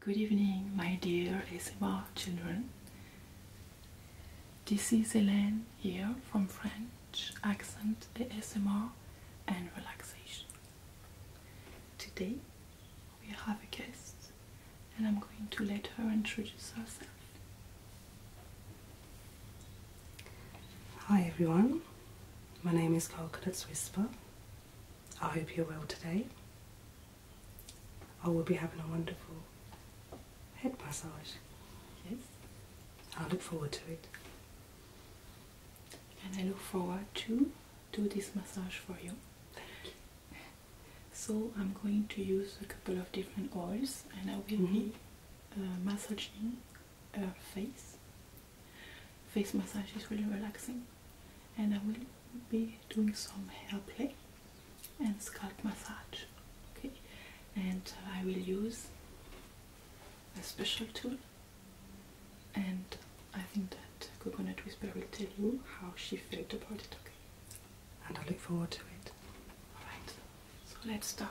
Good evening, my dear ASMR children. This is Hélène here from French Accent ASMR and Relaxation. Today we have a guest and I'm going to let her introduce herself. Hi everyone, my name is Carl. Coconuts Whisper. I hope you're well today. I will be having a wonderful head massage. Yes. I look forward to it. And I look forward to do this massage for you. Thank you. So I'm going to use a couple of different oils and I will need. Euh, massaging her euh, face. Face massage is really relaxing and I will be doing some hair play and scalp massage okay and I will use a special tool and I think that Coconut Whisper will tell you how she felt about it okay and I look forward to it alright so let's start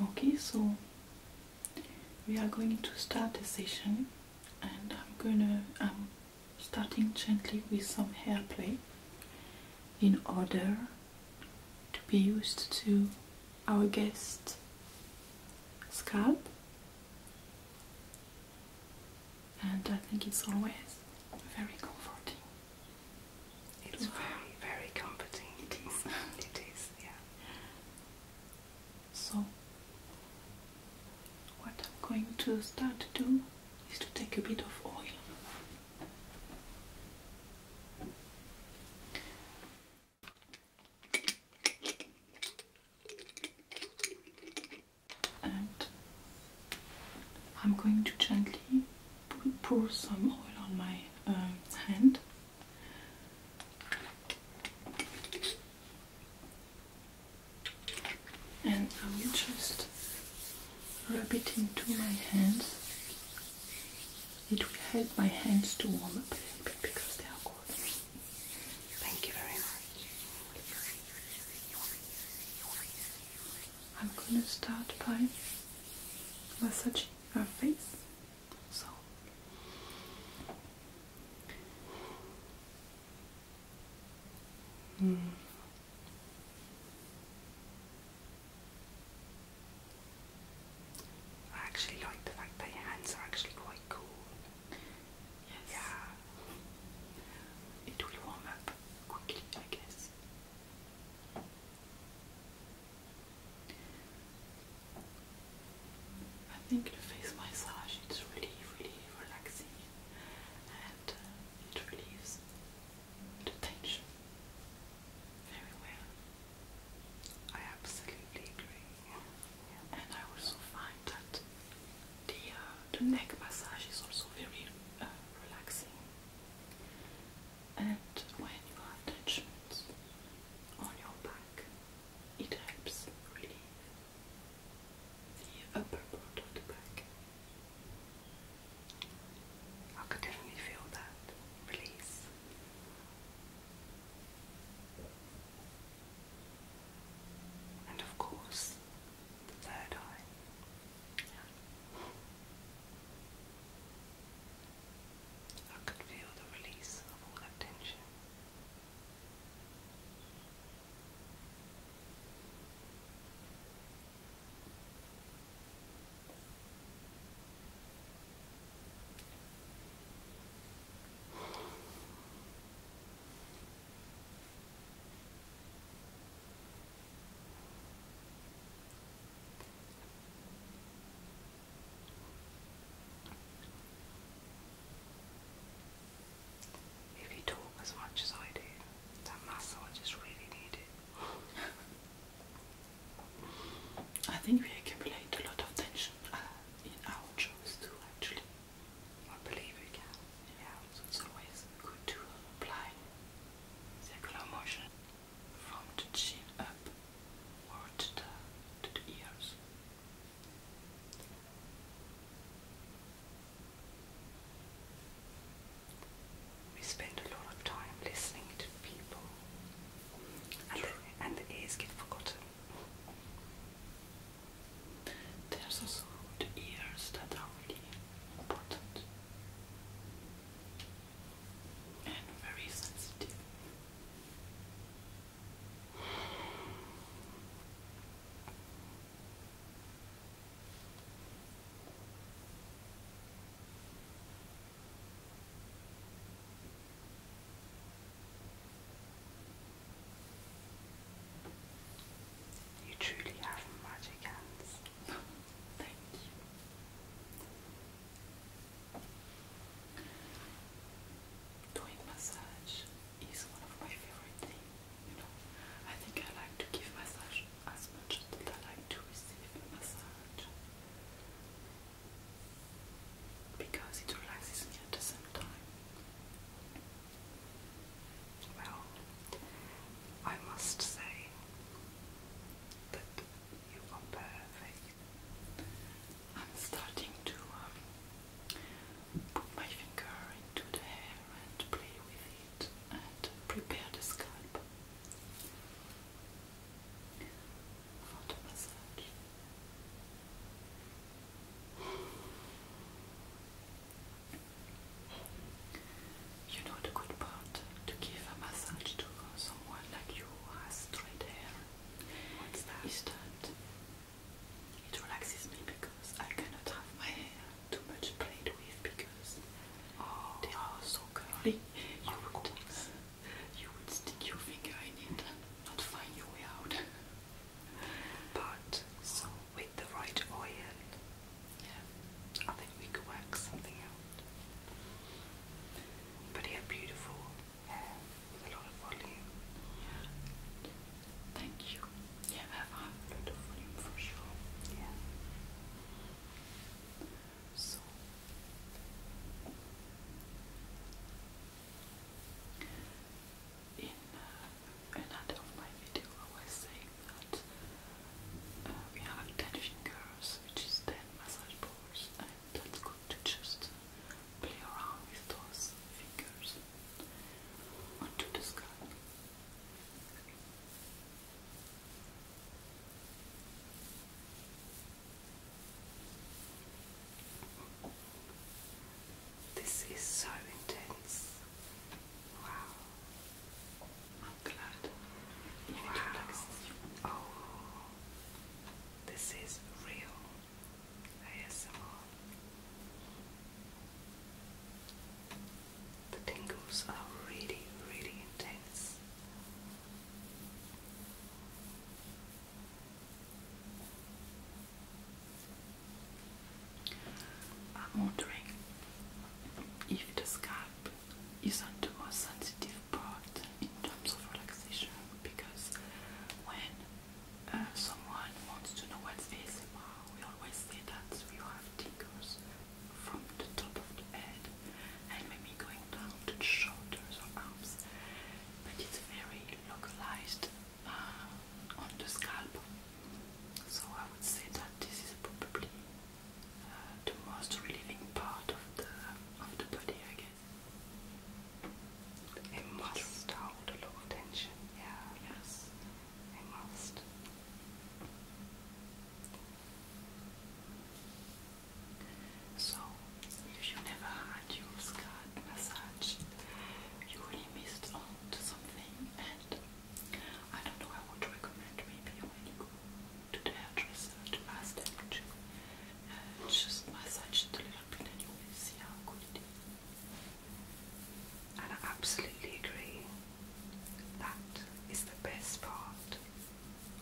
Okay, so we are going to start the session and I'm gonna I'm starting gently with some hair play in order to be used to our guest scalp and I think it's always very comforting. It's very, very comforting. It is. it is, yeah. So, what I'm going to start to do is to take a bit of oil and I'm going to gently pour some oil on my um, hand. And I will just rub it into my hands. It will help my hands to warm up a little bit because they are cold. Thank you very much. I'm gonna start by massaging her face. So hmm. I actually like the fact that your hands are actually quite cool. Yes. It will warm up quickly, I guess. I think the face massage it's really, really relaxing and uh, it relieves the tension very well. I absolutely agree. And I also find that the uh, the neck massage is also very uh, relaxing. And when you have touch on your back, it helps relieve the upper part of the back. I could definitely feel that release. And of course, the third eye. I could feel the release of all that tension. If you talk as much as I do, that massage is really needed. I think we accumulate a lot of tension uh, in our jobs too, actually. I believe we can. Yeah, so it's always good to apply circular motion from the chin up or the, ears. We spend a lot of time listening to people, and the ears get forgotten. There's also the ears that are really important and very sensitive. You truly have magic hands. Thank you. Doing massage is one of my favorite things. You know, I think I like to give massage as much as I like to receive massage because it relaxes me at the same time. Well, I must say that you are perfect. I'm starting to um, put my finger into the hair and play with it and prepare the scalp for the massage. You know the good part to give a massage to someone like you has straight hair. What's that? Is that it relaxes me because I cannot have my hair too much played with because oh. they are so curly. You would, you would stick your finger in it and not find your way out. But so with the right oil, yeah, I think we could work something out. But he beautiful hair with a lot of volume. Yeah. Thank you. Yeah, have a lot of volume for sure. Yeah. So in uh, another of my video I was saying that uh, we have attention curves, which is 10 massage balls, and that's good to just play around with those fingers onto the scalp. This is so intense. Wow. I'm glad. wow. Oh. This is real ASMR. The tingles are really, really intense. I'm wondering if the scalp isn't the most sensitive part in terms of relaxation because when uh, someone wants to know what's ASMR, we always say that we have tingles from the top of the head and maybe going down to the shoulders or arms but it's very localized uh, on the scalp. So I would say that this is probably uh, the most relieving part of the of the body, I guess. It must hold a lot of tension. Yeah. Yes. It must. So, if you never had your scalp massage, you really missed out to something. And I don't know, I would recommend maybe when you go to the hairdresser to ask them uh, just massage it a little bit and you will see how good it is. And I absolutely agree. That is the best part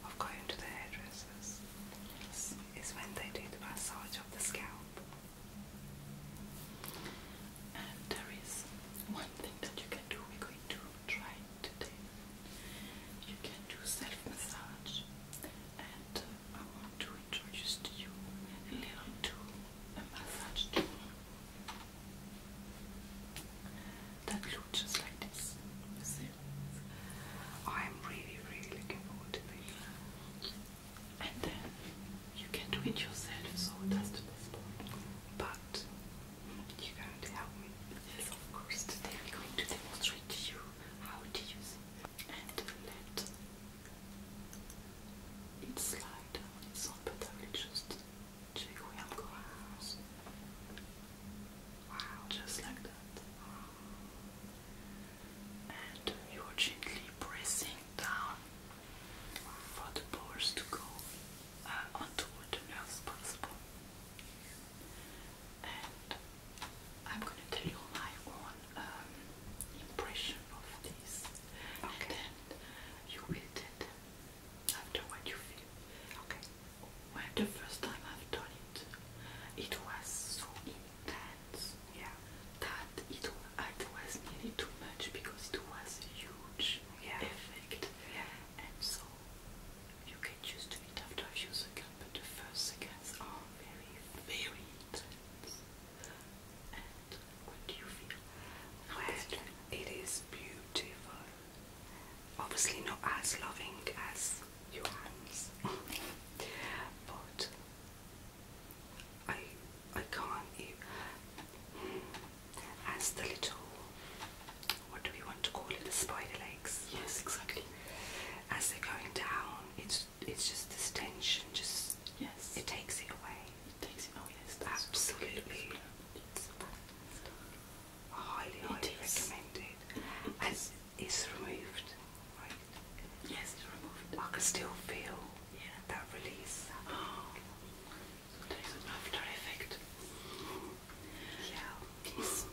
of going to the hairdressers. Yes is when they do the massage of the scalp. And there is one thing that you can do, we're going to try today. You can do self massage, and uh, I want to introduce to you a little tool, a massage tool that looks just like this. I'm really, really looking forward to the year. And then you can do it yourself, so that's the best part. But you're going to help me. of course. Today we're going to demonstrate you how to use And let it slide down. but I will just check where I'm going. Wow. Just like that and you're gently pressing down for the balls to go uh, onto the nerves possible. And I'm gonna tell you my own um, impression of this, and then you will tell them after what you feel. Okay. Well, the first time I've done it, it was so intense that yeah that it was nearly too much because it was a huge effect yeah. and so you can choose to it after a few seconds but the first seconds are very very intense and what do you feel? Well, it is beautiful obviously not as loving as your hands. but I I can't even as the little what do we want to call it? The spider legs. Yes, exactly. As they're going down, it's it's just this tension just yes. It takes it away. It takes it away, yes. Absolutely. highly, recommended. As it's removed. Right? Yes, removed. I can still feel yeah. that release. Oh, after effect. Yeah. This,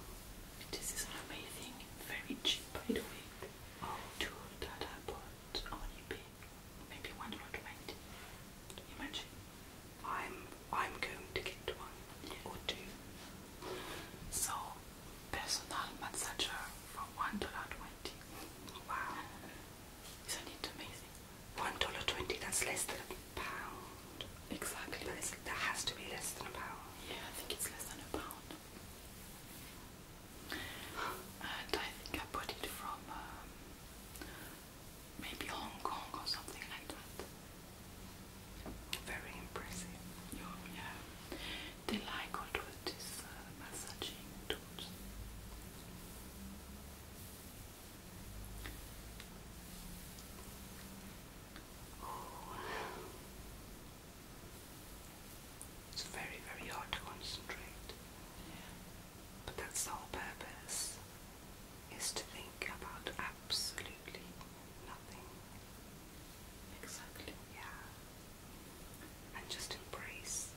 this is amazing, very cheap by the way. Oh, two that on eBay. Maybe 120. Imagine. I'm I'm going to get one or two. So personal massage for one dollar twenty. Wow, isn't it amazing? One dollar twenty. That's less than a pound. Exactly. but That, is, that has to be less than a pound. Yeah, I think it's less than a pound. and I think I bought it from um, maybe Hong Kong or something like that. Very impressive. yeah. They like all these uh, massaging tools. It's very, very hard to concentrate. But that's the whole purpose, is to think about absolutely nothing. Exactly. Yeah. And just embrace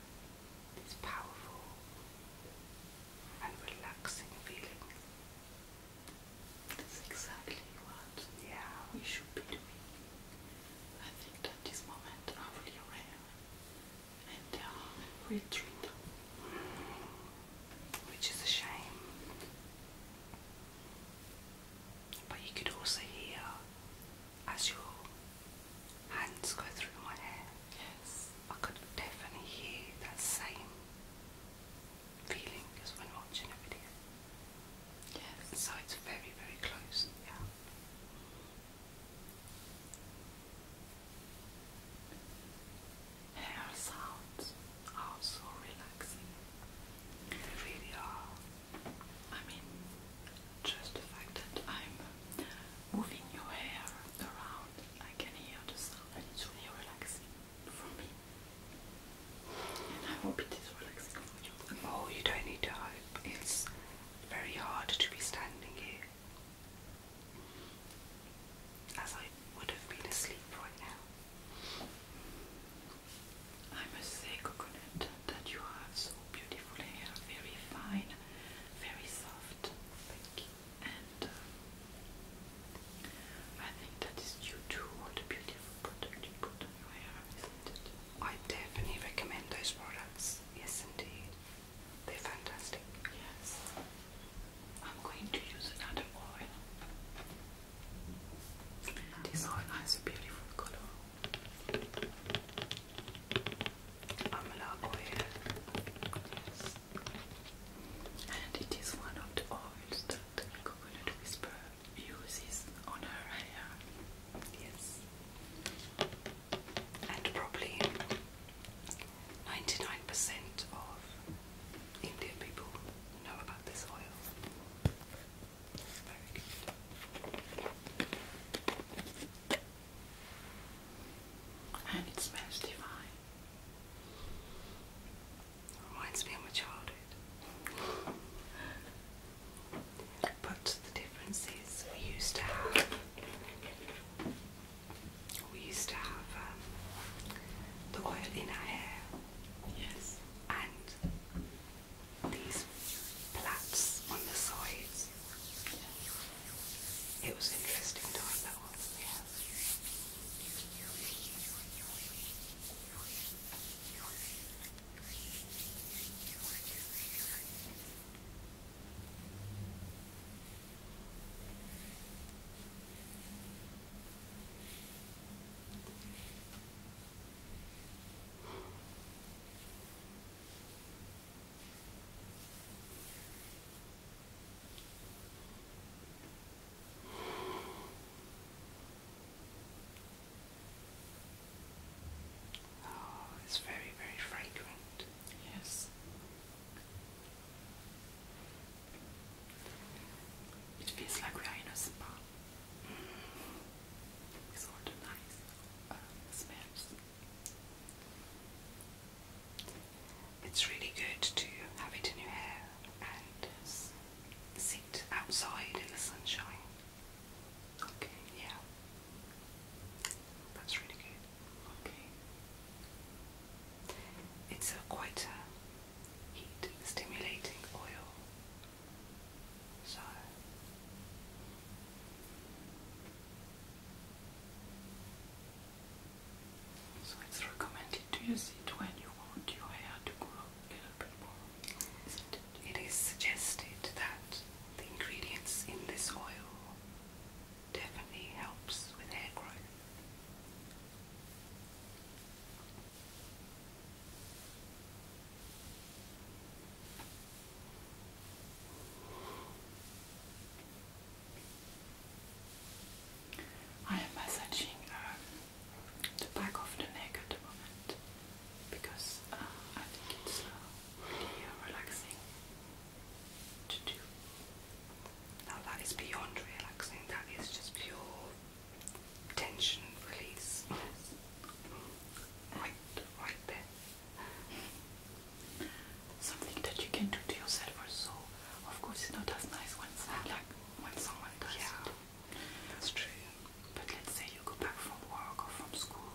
this powerful and relaxing feeling. That's exactly what yeah. we should be doing. I think that this moment are really rare and they uh, are Which is a shame. But you could also hear as your hands go through my hair. Yes. I could definitely hear that same feeling as when watching a video. Yes. So it's very, very close. Yeah hair sounds are so relaxing. really are. I mean, just the fact that I'm moving your hair around, I can hear the sound, and it's really relaxing for me. And I hope it is relaxing for you. Oh, you don't need to hope. It's very hard to be standing here. As I would have been asleep right now. I must say, Coconut, that you have so beautiful hair, very fine, very soft. Thank you. And uh, I think that is due to all the beautiful products you put on your hair, isn't it? I definitely recommend those products. Yes, indeed. They're fantastic. Yes. I'm going to use another oil. This oil has a beautiful color. Amala oil. And it is one of the oils that Coconut Whisper uses on her hair. Yes. And probably 99% of Indian people know about this oil. It's very good. And it smells divine. Reminds me of my childhood. But the difference is we used to have we used to have um, the oil in our hair. Yes. And these plaits on the sides. It was interesting time that one. Oh, it's very, very fragrant. Yes. It feels like we are in a spa. Mm. It's all the nice uh, smells. It's really good to have it in your hair and sit outside in the sunshine. Okay, yeah. That's really good. It's a quite a heat stimulating oil. So it's recommended to use it when you want your hair to grow a little bit more. Isn't it? it its suggested that the ingredients in this oil definitely helps with hair growth. I am massaging um, the back of the neck at the moment because uh, I think it's uh, really uh, relaxing to do. Now that is beyond relaxing, that is just pure tension release. Right, right there. Something that you can do to yourself or Of course it's not as nice when like when someone does yeah, That's true. But let's say you go back from work or from school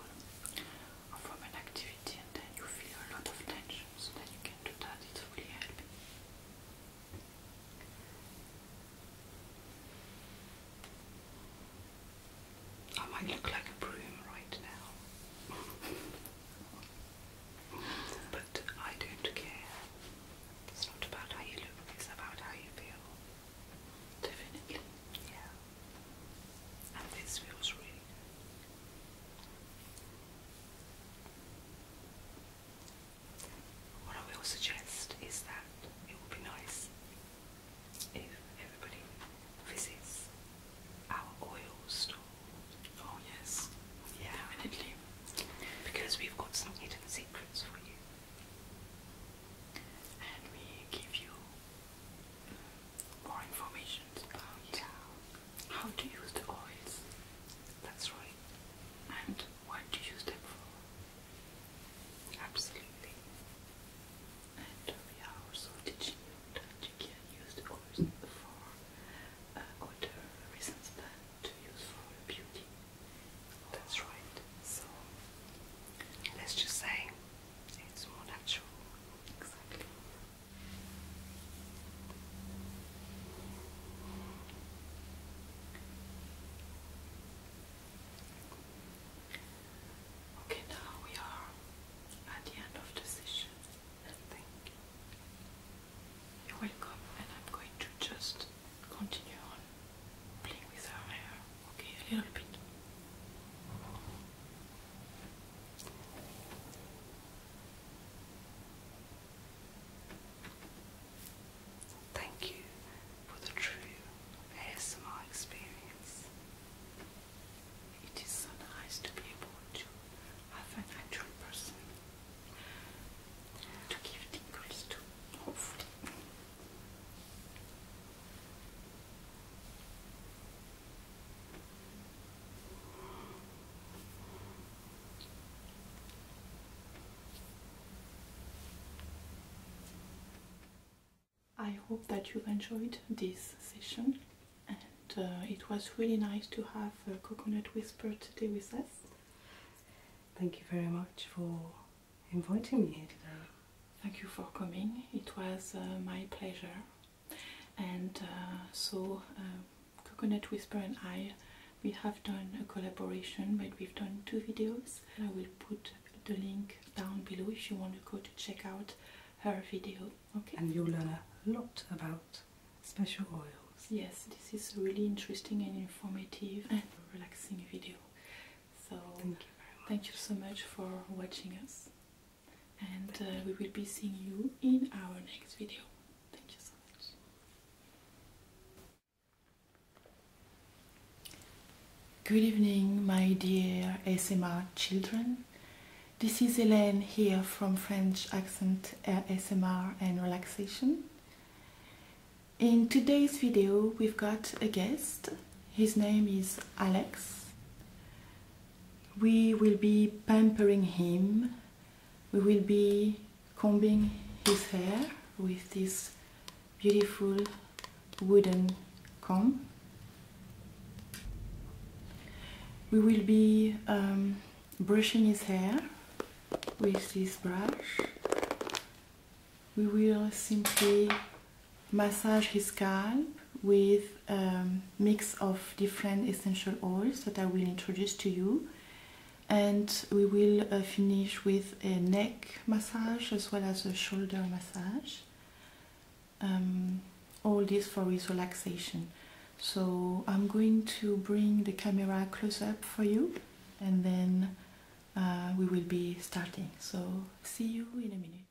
or from an activity and then you feel a lot of tension so then you can I might look like a broom right now, but I don't care. It's not about how you look, it's about how you feel. Definitely. Yeah. And this feels really good. What I will suggest is that it would be nice if everybody visits our oil store. Oh yes, yeah, definitely. Because we've got some hidden secrets for you, and we give you more information about how to use the oils. That's right. And what to use them for. Absolutely. And we also teaching you that you can use the oils for uh, other reasons than to use for beauty. That's right. So let's just say it's more natural. Exactly. Okay, now we are at the end of the session, I think. You're welcome, and I'm going to just continue on playing with her hair, okay, a little bit. Thank you for the true ASMR experience. It is so nice to be able to have an actual person to give tingles to, hopefully. I hope that you enjoyed this session and uh, it was really nice to have Coconut Whisper today with us. Thank you very much for inviting me here today. Thank you for coming. It was uh, my pleasure and uh, so uh, Coconut Whisper and I we have done a collaboration but we've done two videos I will put the link down below if you want to go to check out her video okay and you'll learn a lot about special oils yes this is really interesting and informative and relaxing video so thank you so much for watching us and uh, we will be seeing you in our next video. Thank you so much. Good evening, my dear ASMR children. This is Hélène here from French Accent ASMR and Relaxation. In today's video, we've got a guest. His name is Alex we will be pampering him. We will be combing his hair with this beautiful wooden comb. We will be um, brushing his hair with this brush. We will simply massage his scalp with a um, mix of different essential oils that I will introduce to you and we will uh, finish with a neck massage as well as a shoulder massage um, all this for his relaxation so I'm going to bring the camera close up for you and then uh, we will be starting so see you in a minute